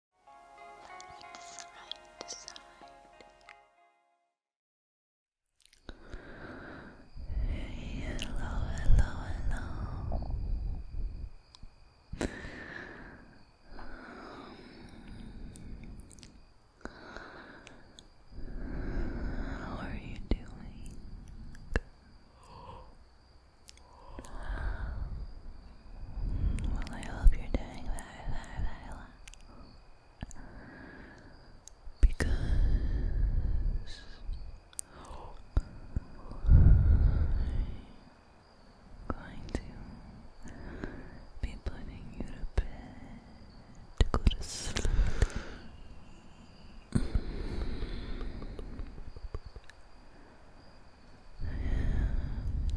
Like Hello, hello, hello. Um, how are you doing? Well, I hope you're doing very, Because I'm going to be putting you to bed to go to sleep.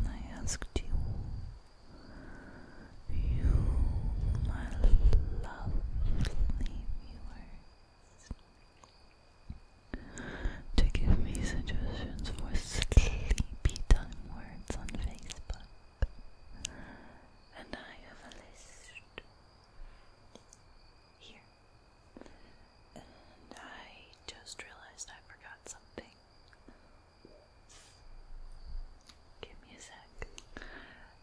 I asked you, you, my lovely viewers, to give me suggestions for sleepy words on Facebook, and I have a list here. And I just realized I forgot something. Give me a sec.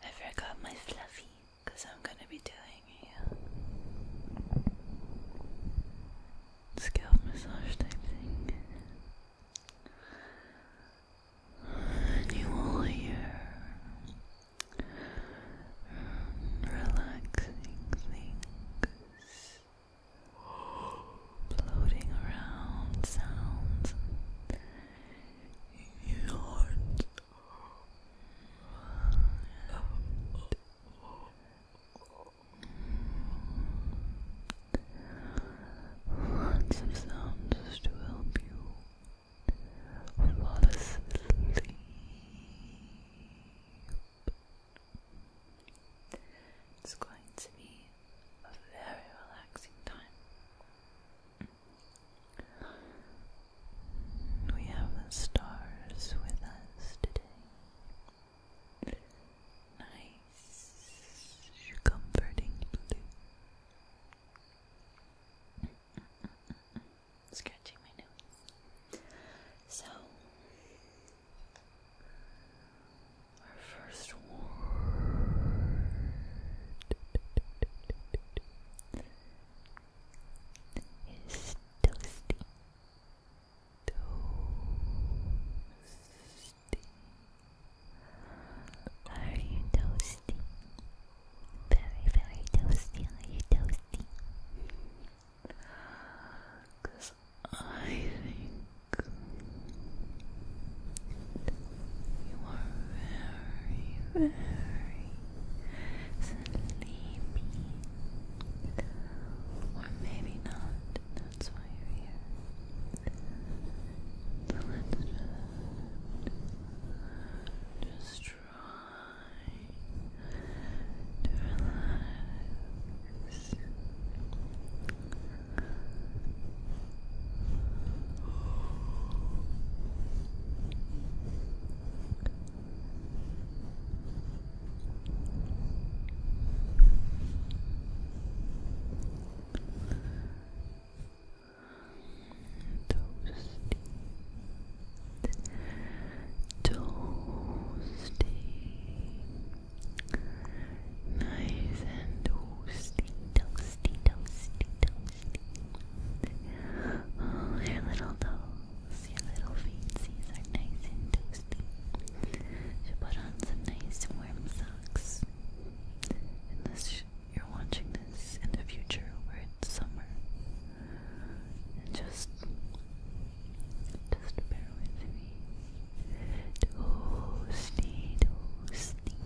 I forgot my fluffy because I'm going to be doing a uh, scalp massage type thing. you will hear relaxing things floating around sounds your heart lots of sounds to help you fall asleep. It's going to be a very relaxing time. We have the stars with us today. Nice, comforting blue. Scratching my nose. So, our first word is toasty. Toasty. Are you toasty? Very, very toasty. Are you toasty? I think you are very, very sleepy. Or maybe not, that's why you're here. let's just, just try to relax. Toasty, toasty, Nice and toasty, toasty, toasty, toasty. Oh, your little toes, your little feetsies are nice and toasty. Should put on some nice warm socks. Unless you're watching this in the future where it's summer. And just, just bear with me toasty, toasty,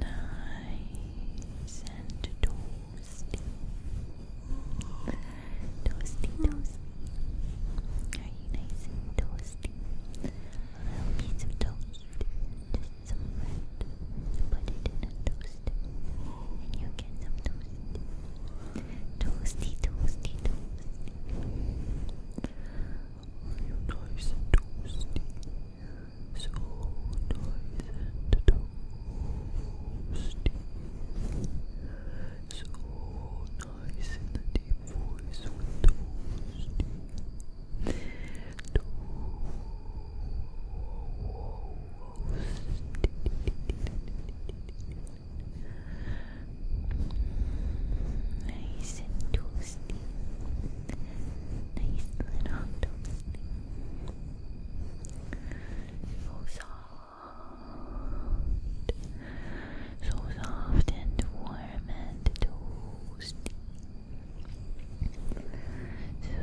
nice and toasty, toasty, toasty. you nice and toasty? A little piece of toast, just some bread. Put it in a toast, and you get some toast. Toasty, toasty, toasty. Are you nice and toasty? So nice and toasty. So nice in the deep voice with toasty. Toasty. Nice and toasty. Nice little toasty. So soft. So soft and warm and toasty. So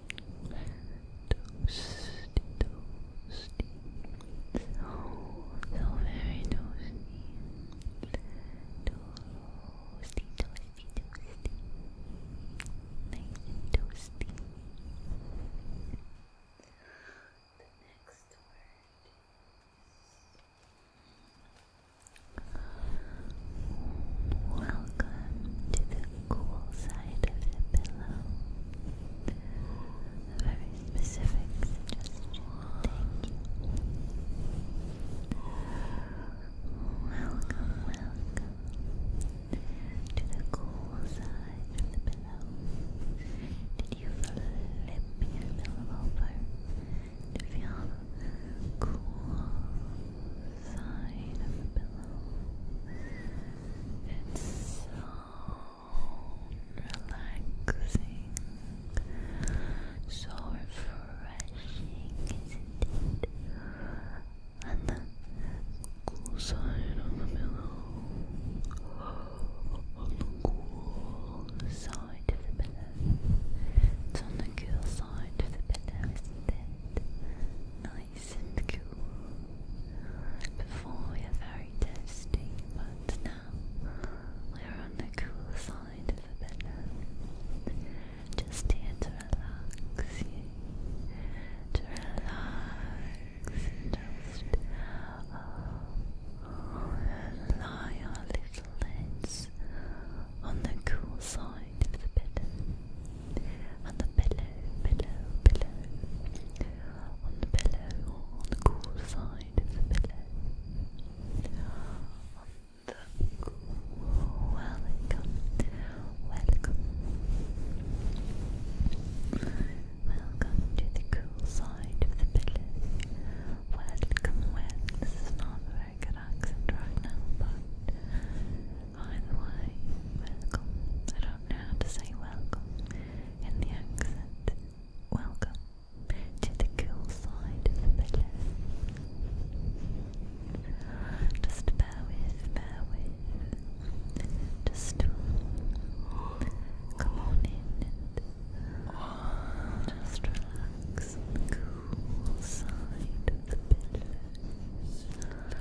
toasty, toasty, so, very toasty, toasty, toasty, toasty, nice toasty. The next word welcome to the cool side of the pillow. very specific suggestion. Thank you. Welcome, welcome to the cool side of the pillow. Did you flip your pillow over to feel cool side of the pillow? It's so relaxing, so refreshing, isn't the cool side of the pillow, on the cool side of the pillow. It's on the cool side of the pillow, is Nice nice and cool. Before we are very toasty, but now we're on the cool side of the bed. Just to relax to relax and oh, lie our little heads on the cool side of the pillow on the pillow, pillow, pillow, on the pillow, on the cool side of the pillow, on the cool, welcome, welcome, welcome to the cool side of the pillow, welcome, welcome, this is not very good accent right now, but Hi, welcome. I don't know how to say welcome in the accent. Welcome to the cool side of the pillow. Just bear with, bear with. Just come on in and just relax cool side of the pillow.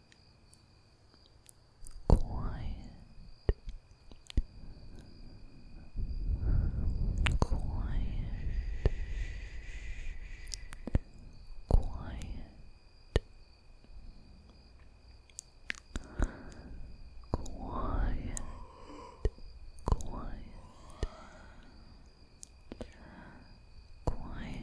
quiet, quiet, quiet. Quiet, quiet, quiet,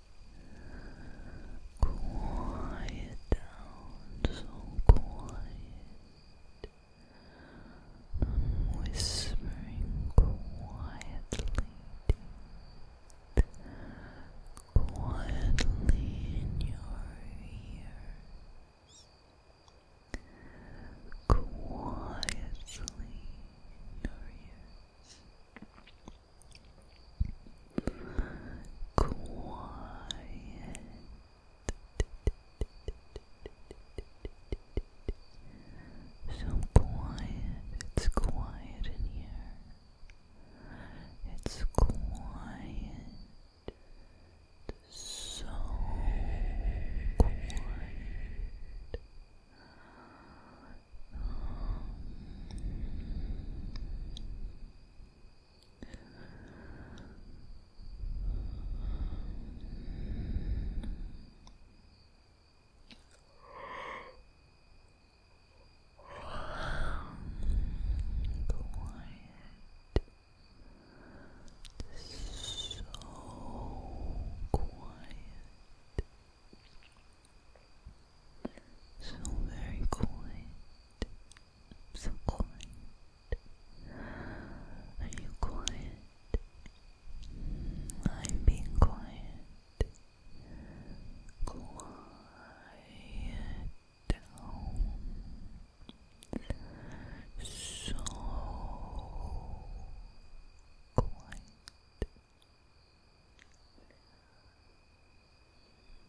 Quiet down, so quiet. I'm whispering quietly, quietly in your ears, quietly in your ears. Quiet. So quiet. It's quiet in here. It's quiet. So quiet. Quiet. So quiet. So very quiet. so quiet. Are you quiet? I'm being quiet. Quiet So quiet.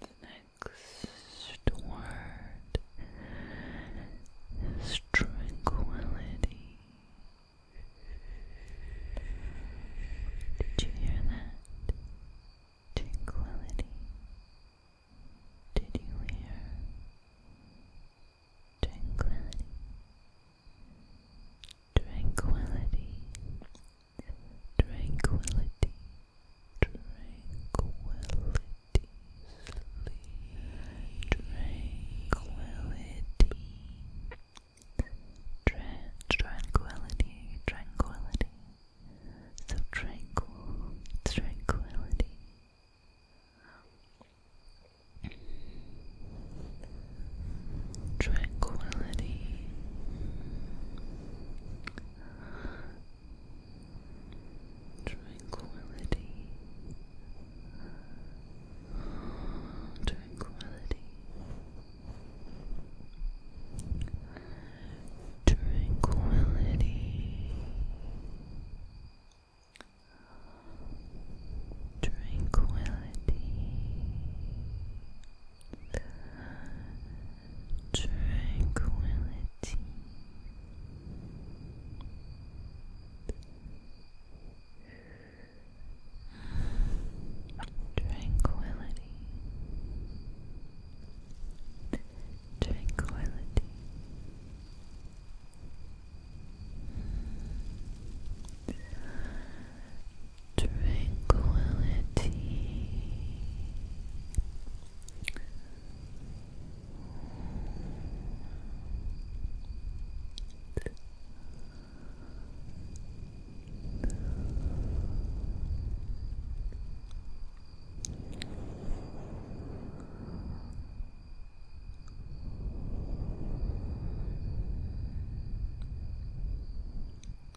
The next word is tranquility. Did you hear that? Tranquility. Did you hear? Tranquility tranquility, tranquility, tranquility, sleep, tranquility, Tra tranquility, tranquility. So tranquil, tranquility tranquility. Tranquility, tranquility, tranquility, tranquility, tranquility. Tranquility, tranquility, tranquility. Peace.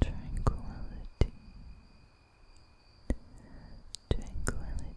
Tranquility, tranquility. Tranquility.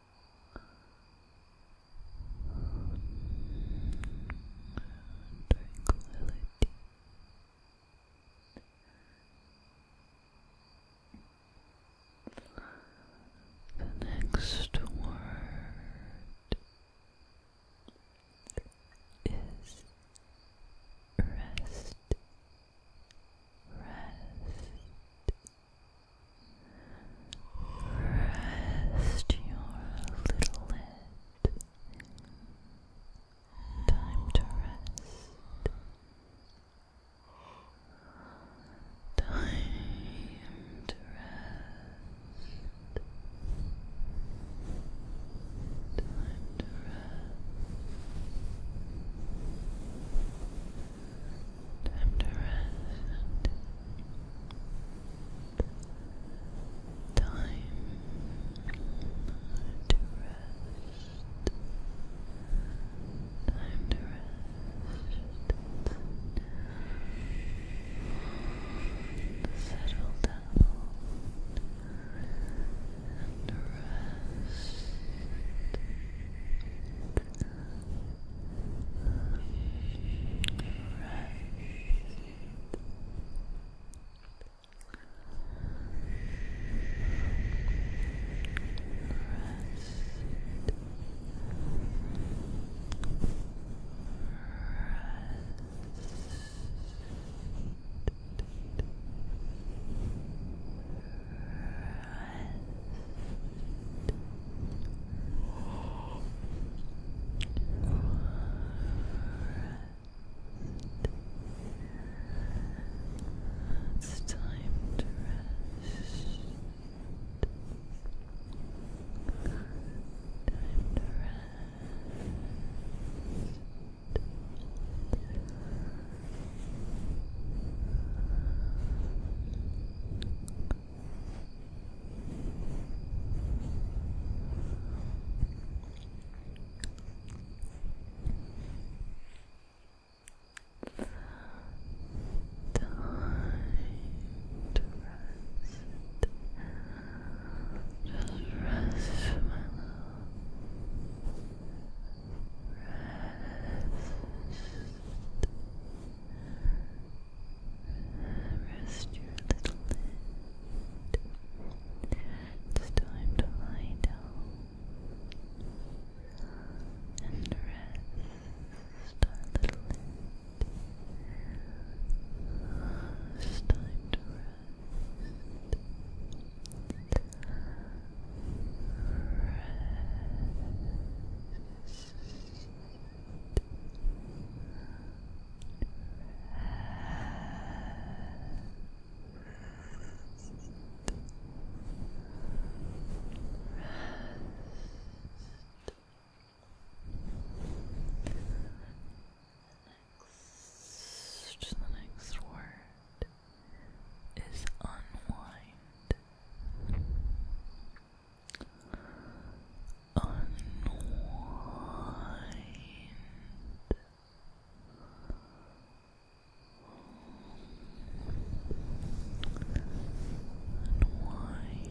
tranquility. The next word is rest. Rest your little head. Time to rest. Time to rest. Time to rest. Time to rest. Time to rest. Time to rest. Settle down and rest. Rest. It's time to rest. Time to rest. Time to rest. Just rest, my love. Rest. Rest your little head. It's time to lie down and rest our little head. It's time to rest. Rest next, the next word is unwind. Unwind. Unwind. Unwind. Unwind.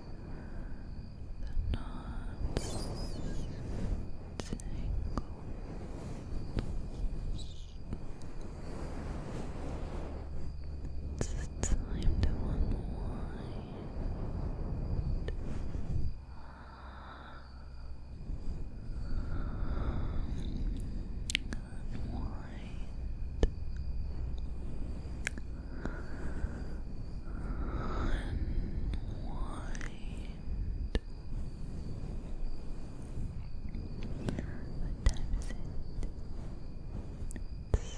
the knots it's time to unwind unwind Unwind. What time is it? unwind. Unwind.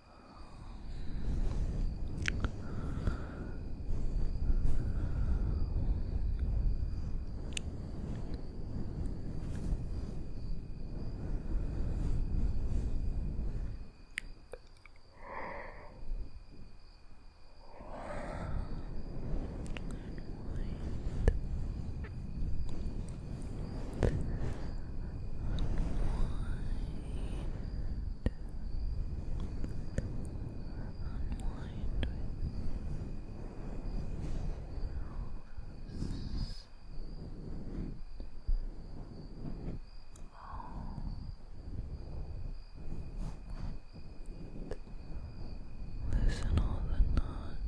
Unwind unwind with oh. Listen all the knots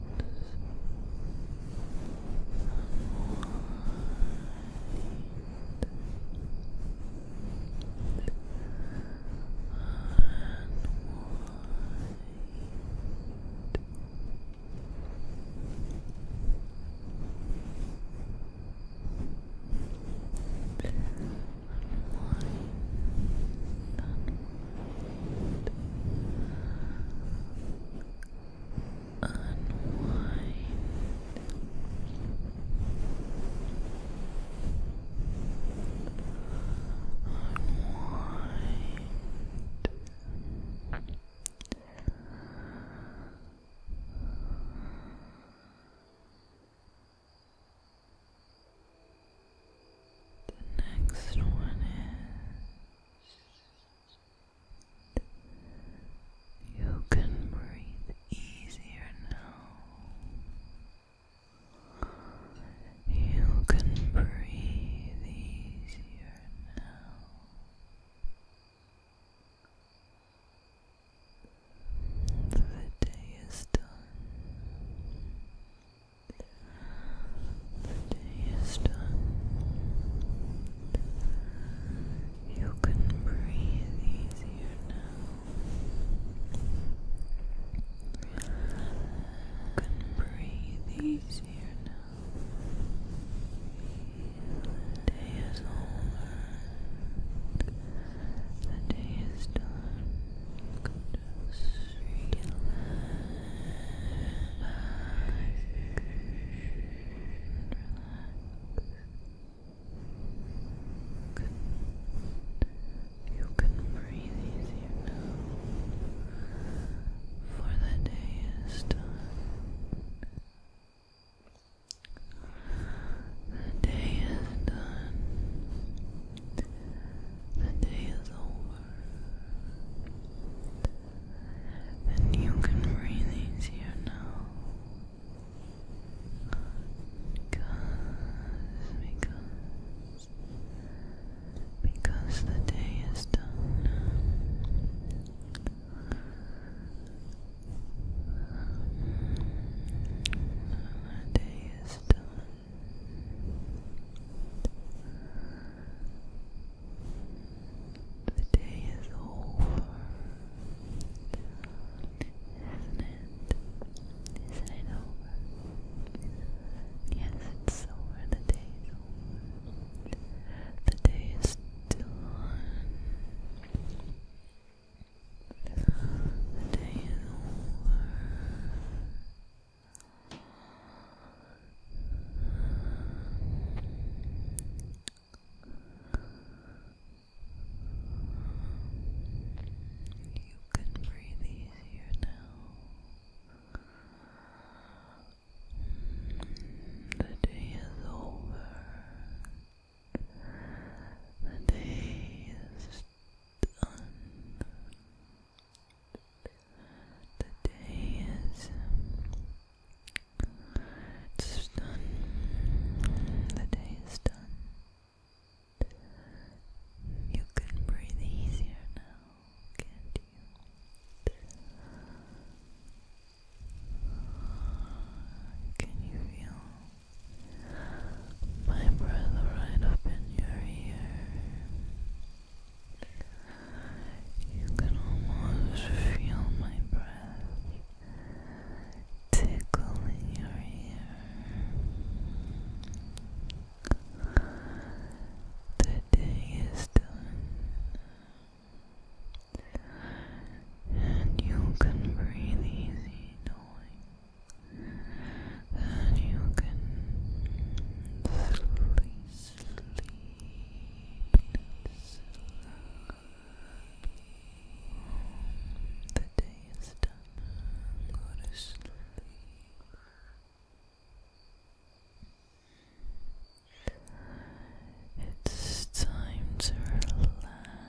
Unwind. Unwind. Unwind. The next one is you can breathe easier now. You can breathe easier now. The day is done. The day is done. You can breathe easier now. You can breathe easier now. The day is over. The day is done. Just relax. Relax. Relax you can breathe easier now, for the day is done. The day is done. The day is over. And you can breathe easier now. Because, because, because the day is done. The day is done. The day is over. Isn't it? Isn't it over? Yes, it's over. The day over. The day is done. The day is over. You can breathe easier now. The day is over. The day is done. The day is done. The day is done. You can breathe easier now, can't you? Can you feel my breath right up in your ear? You can almost feel my breath tickling your ear. The day is done, and you can breathe easy knowing that you can sleep, sleep, sleep. The day is done. Go to sleep. It's time to relax.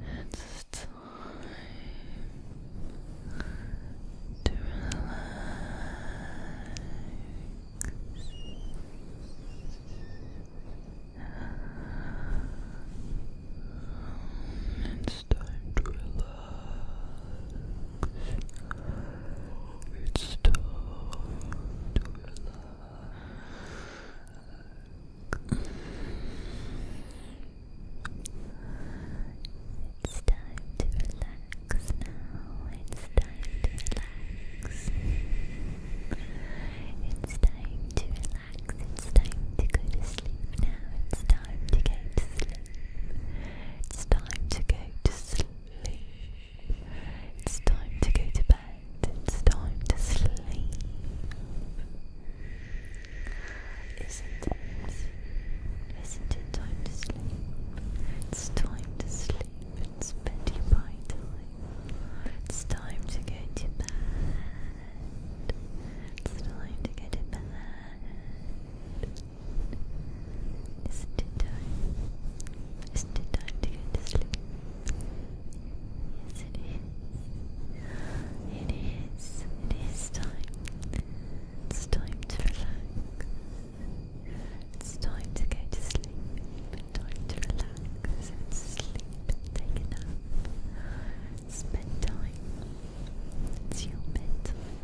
It's time to relax. It's time to relax. It's time to relax. It's time to relax relax It's time to relax. It's time to relax. It's time to go to sleep now. It's time to go to sleep. It's time to go to sleep. It's time to go to bed. It's time to sleep. Isn't it? Isn't it time to sleep? It's time to sleep. It's Betty time. It's time to go to bed. It's time to go to bed. Isn't it time? to go to sleep? Yes, it is. It is. It is time. It's time to relax. It's time to go to sleep, time to relax and sleep and take a nap. It's bedtime, it's your bedtime.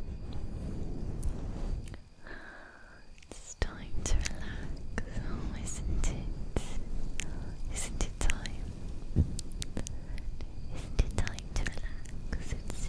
It's time to relax, oh isn't it? time? Isn't time to relax? It's, it's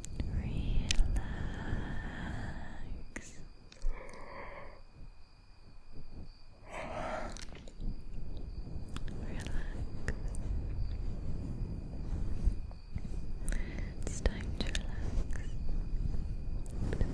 Relax. Relax. It's time to relax. Relax.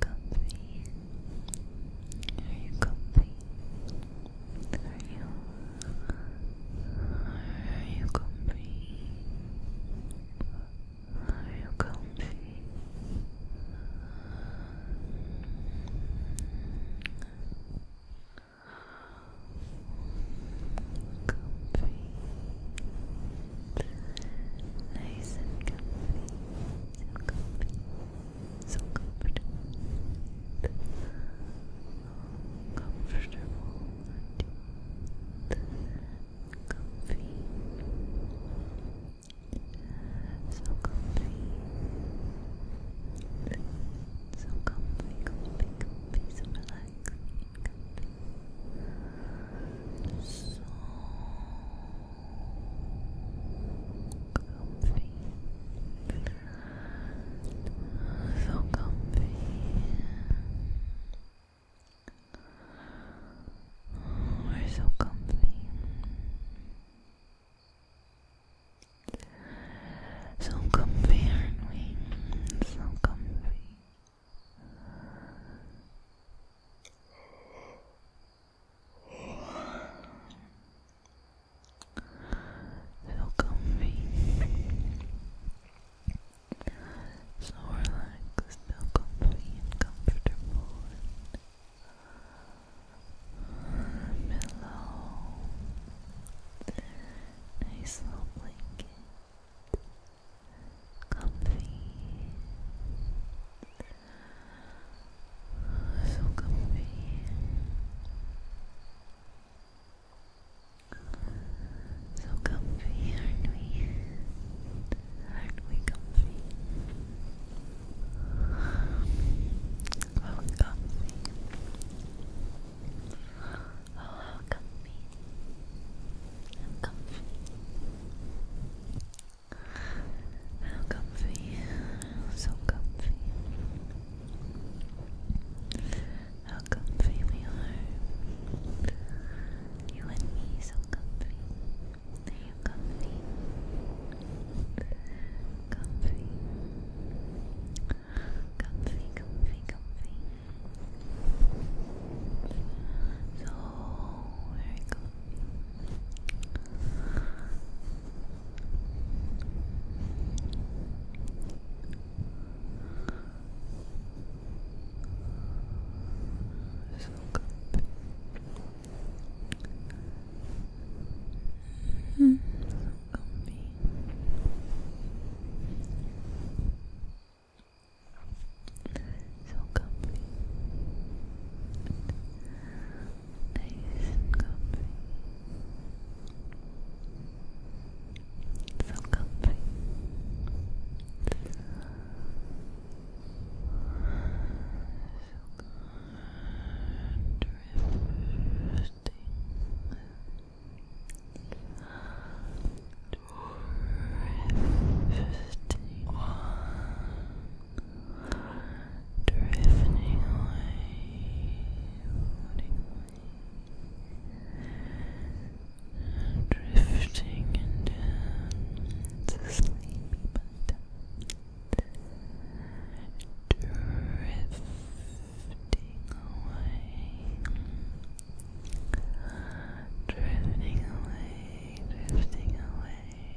Comfy? Are you comfy? Are you? Are you comfy? Are you comfy? Comfy. Nice and comfy. So comfy. So comfortable. comfortable. Comfy. So comfy. So comfy, comfy, comfy, so relaxing, comfy. So comfy, so comfy. We're so comfy, so comfy, aren't we? So comfy. So comfy, so relaxed, so comfy and comfortable, and pillow, nice little blanket, comfy. So comfy. So comfy, aren't we? Aren't we comfy? Oh, comfy. Oh, how comfy. i comfy. How comfy, so comfy. How comfy we are. You and me, so comfy. Are comfy? Comfy. Comfy, comfy, comfy. So very comfy. So comfy. -hmm. So comfy. So comfy. Nice and comfy. So comfy. So good. Drifting. Drifting drifting away, drifting and down but drifting away, drifting away, drifting away.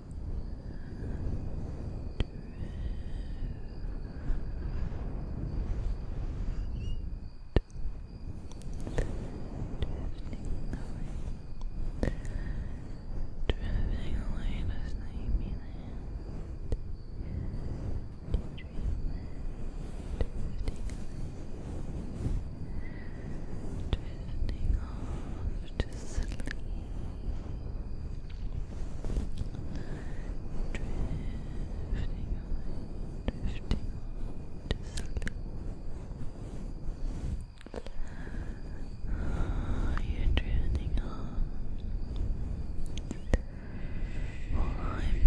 Drifting away to sleepy land. Dreamland. Drifting away. Drifting off to to sleep. Drifting on, drifting sleep. you're drifting on. I'm drifting on. Drifting on to sleep.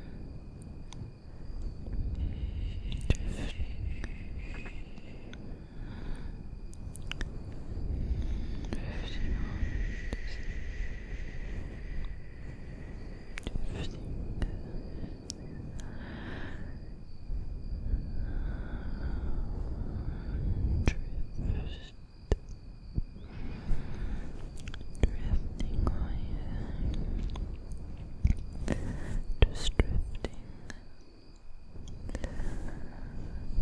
Drift, Drifting away, just drifting, just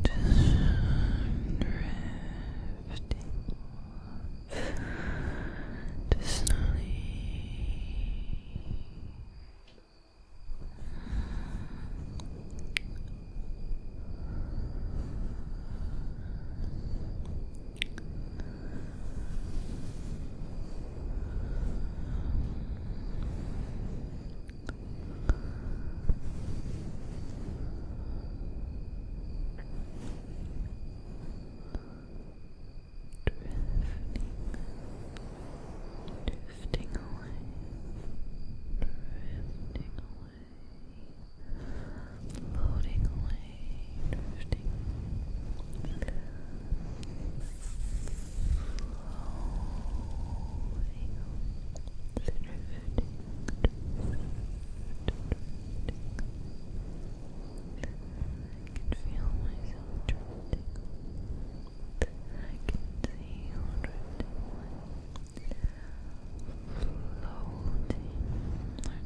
drifting to sleep. Drifting away, drifting away floating away, drifting, flowing, drifting, drifting, I can feel myself drifting. I can see you drifting. Floating,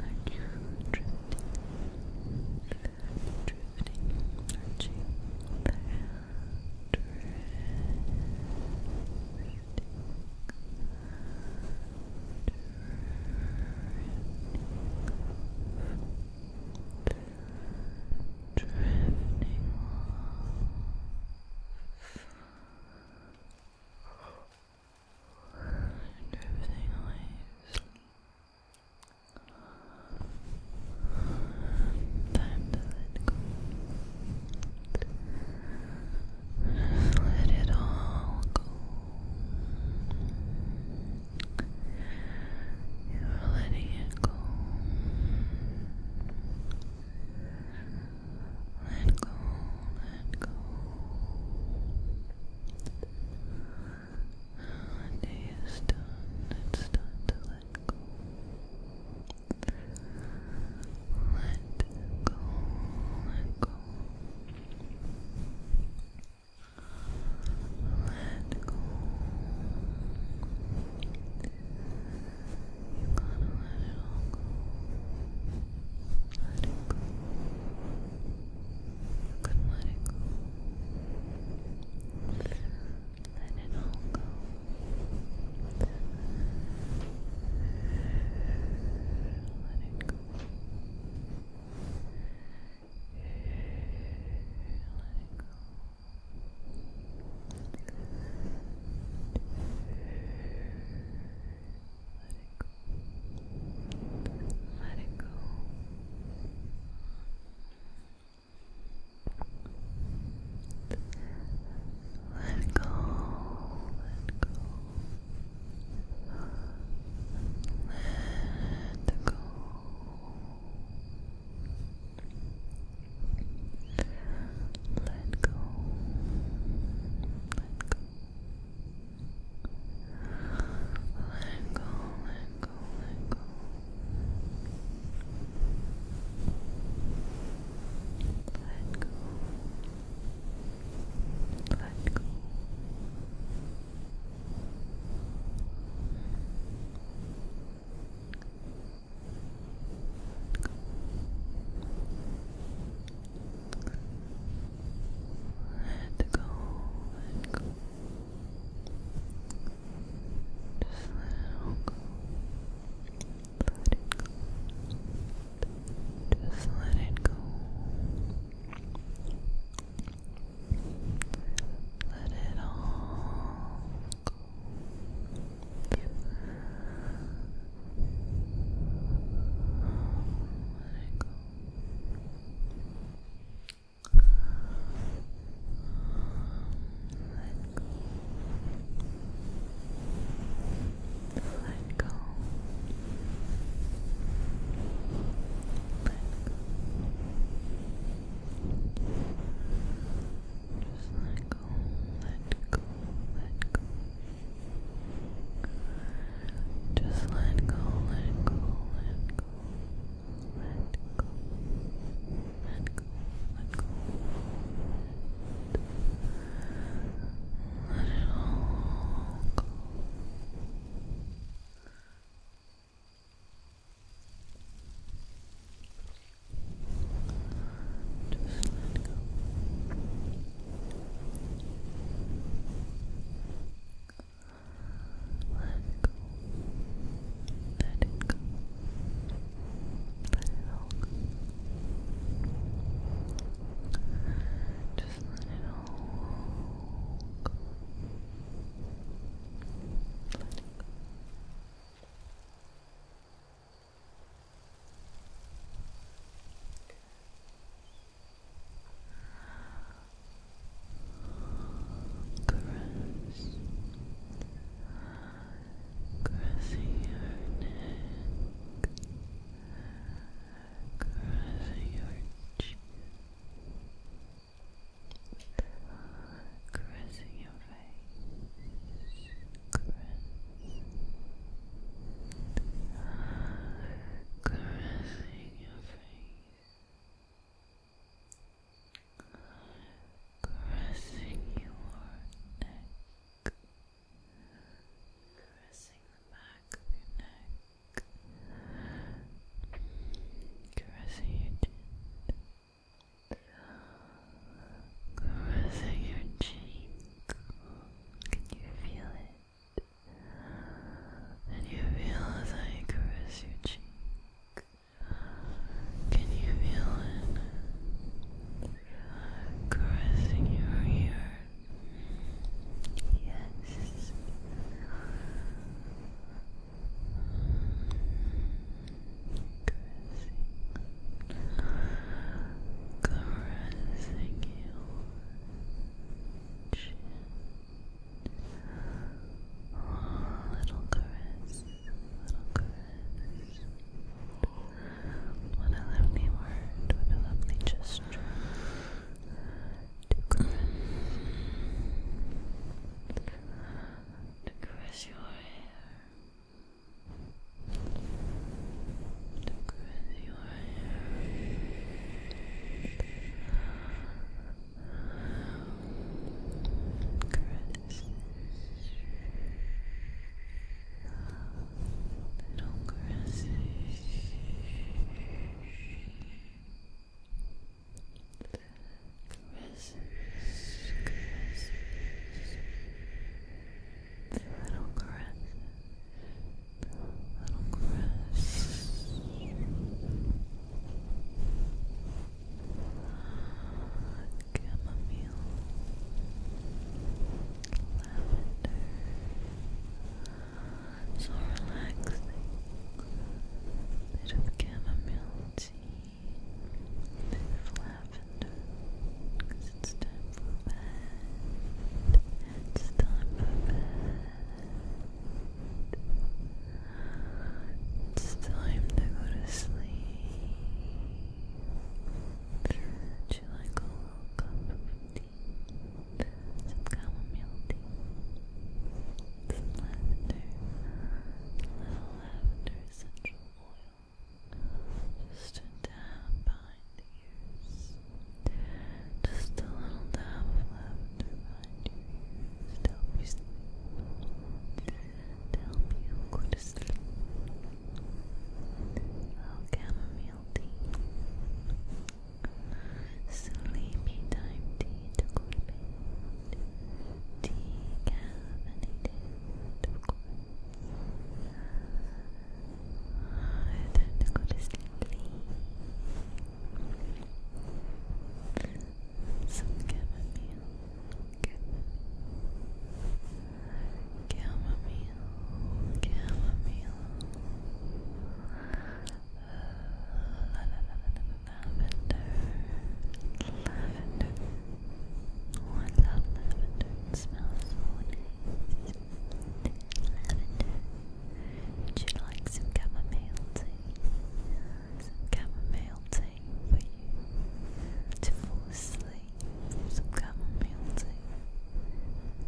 are you drifting? Drifting, arching the Drifting, drifting, drifting and everything always time to let go let it all go you're letting it go let go, let go. The day is done, it's time to let go. Let go, let go. Let go. Let go. Let go. You gotta let it go. Let it go. You can let it go. Let it all go. Let it go. Let it go. Let it go let it go. Let it go. Let go. Let go. Let go. Let go. Let go. Let go, let go, let go. Let go. Let go. Let go, let go. Just let it go. Let it go. Just let it go. Let it all go. Let go. Just let go, let go, let go, just let go, let go, let go, let go, let go, let go. Let it all go. Just let go. Let go. Let it go. Let it go. Just let it all go. Let it Caress, caressing your neck, caressing your chin, caressing your face, caressing caressing your face, caressing your neck, caressing the back of your neck, caressing your chin. Caressing your cheek. Can you feel it? And you feel as I caress your cheek. Can you feel it? Caressing your ear. Yes. Caressing. Caressing you. Oh, little caress, little caress. What a lovely word, what a lovely gesture. To caress, to caress your hair, to caress your caresses, little caresses. Caresses, caresses, little caresses, Little caress. Chamomile. Lavender. So relaxing. Bit of chamomile tea. Bit of lavender. it's time for bed. It's time for bed. It's time to go to sleep. Would you like a little cup of tea? Some chamomile tea. Some lavender. A little lavender essential oil. Just a dab behind Just a little dab of lavender to help you sleep. To help you go to sleep. Little chamomile tea. Sleepy time tea to go to bed. Decaffeinated, of course time to go to sleep. Some chamomile, chamomile, chamomile, La, la, la, la, la, lavender, lavender. Oh, I lavender. smells so nice. lavender would you like some chamomile tea? Some chamomile tea for you to fall asleep. Some chamomile tea.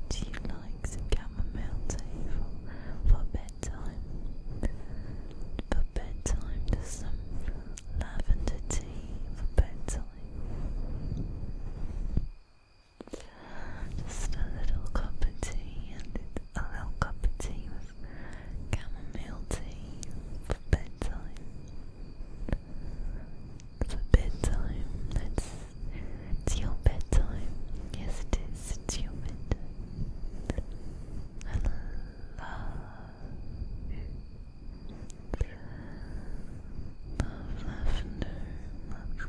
Do you like some chamomile tea for, for bedtime? For bedtime, there's some lavender tea for bedtime. Just a little cup of tea, and a little cup of tea with chamomile tea for bedtime. For bedtime, it's, it's your bedtime. Yes, it is. It's your bedtime. love, love lavender. Let's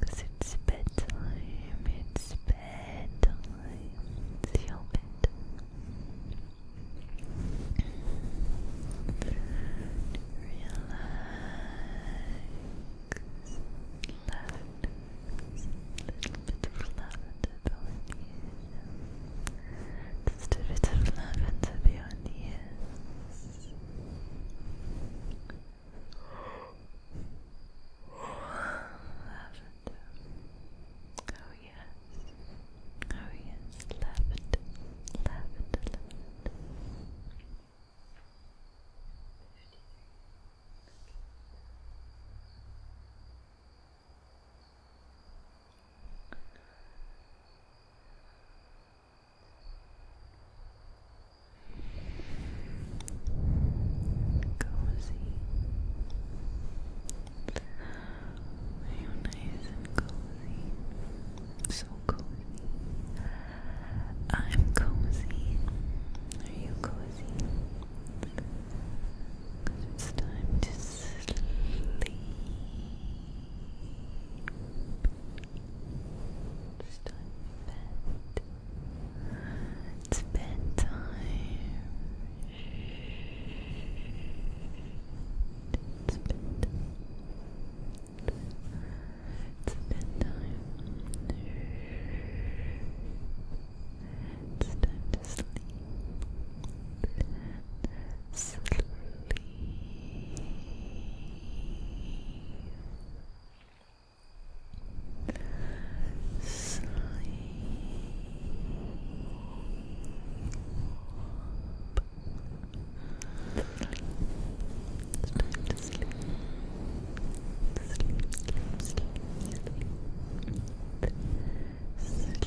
Cause it's bedtime, it's bedtime, it's your bed. Relax. Lavender, a little bit of lavender behind the ears. Just a bit of lavender behind the ears. Lavender. Oh yes. Oh yes. Lavender. Lavender. Cozy. Real nice and cozy. So cozy. I'm cozy. Are you cozy? it's time to sleep. It's time it's bedtime. It's bedtime. It's bedtime. It's time to Sleep. Sleep. Sleep. It's time to sleep. Sleep, sleep, sleep, sleep. Sleep.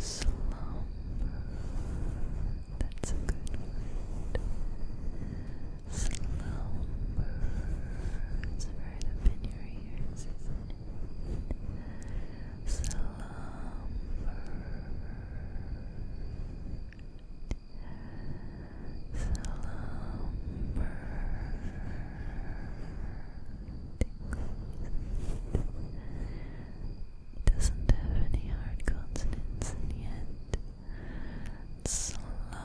Slump. That's a good word. Slumber. It's right up in your ears, isn't it? Slumber. Doesn't have any hard consonants in yet. Slumber. Slumber.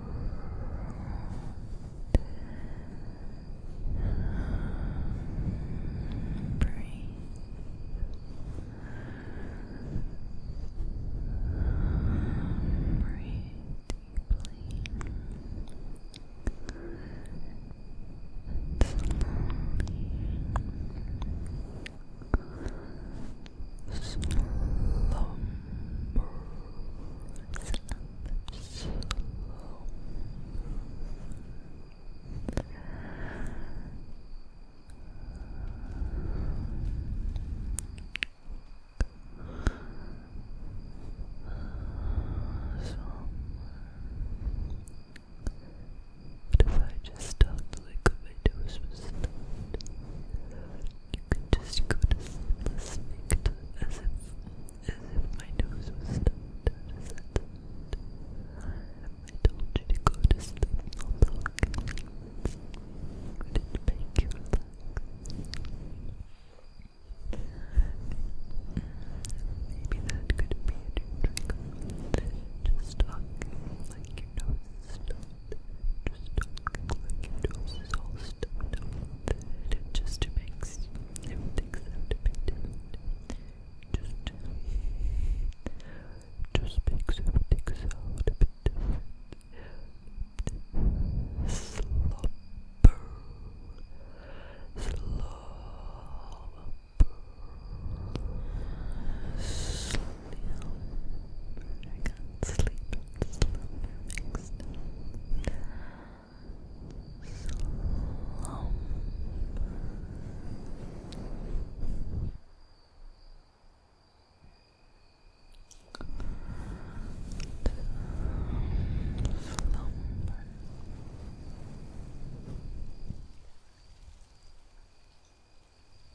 Breathe. Breathe deeply. And slowly slumber, slumber, slumber. But if I just talked like a video was supposed you can just go to sleep as if, as if my nose was stuffed. I told you to go to sleep, not talking. Would it make you Maybe that could be a new Just talking like you know stuff just talking like it all stuffed up that it everything sound a bit different. Just, just makes everything sound a bit different. Slumber, slumber, slumber. I can't sleep. Slump. Slumber. Slumber.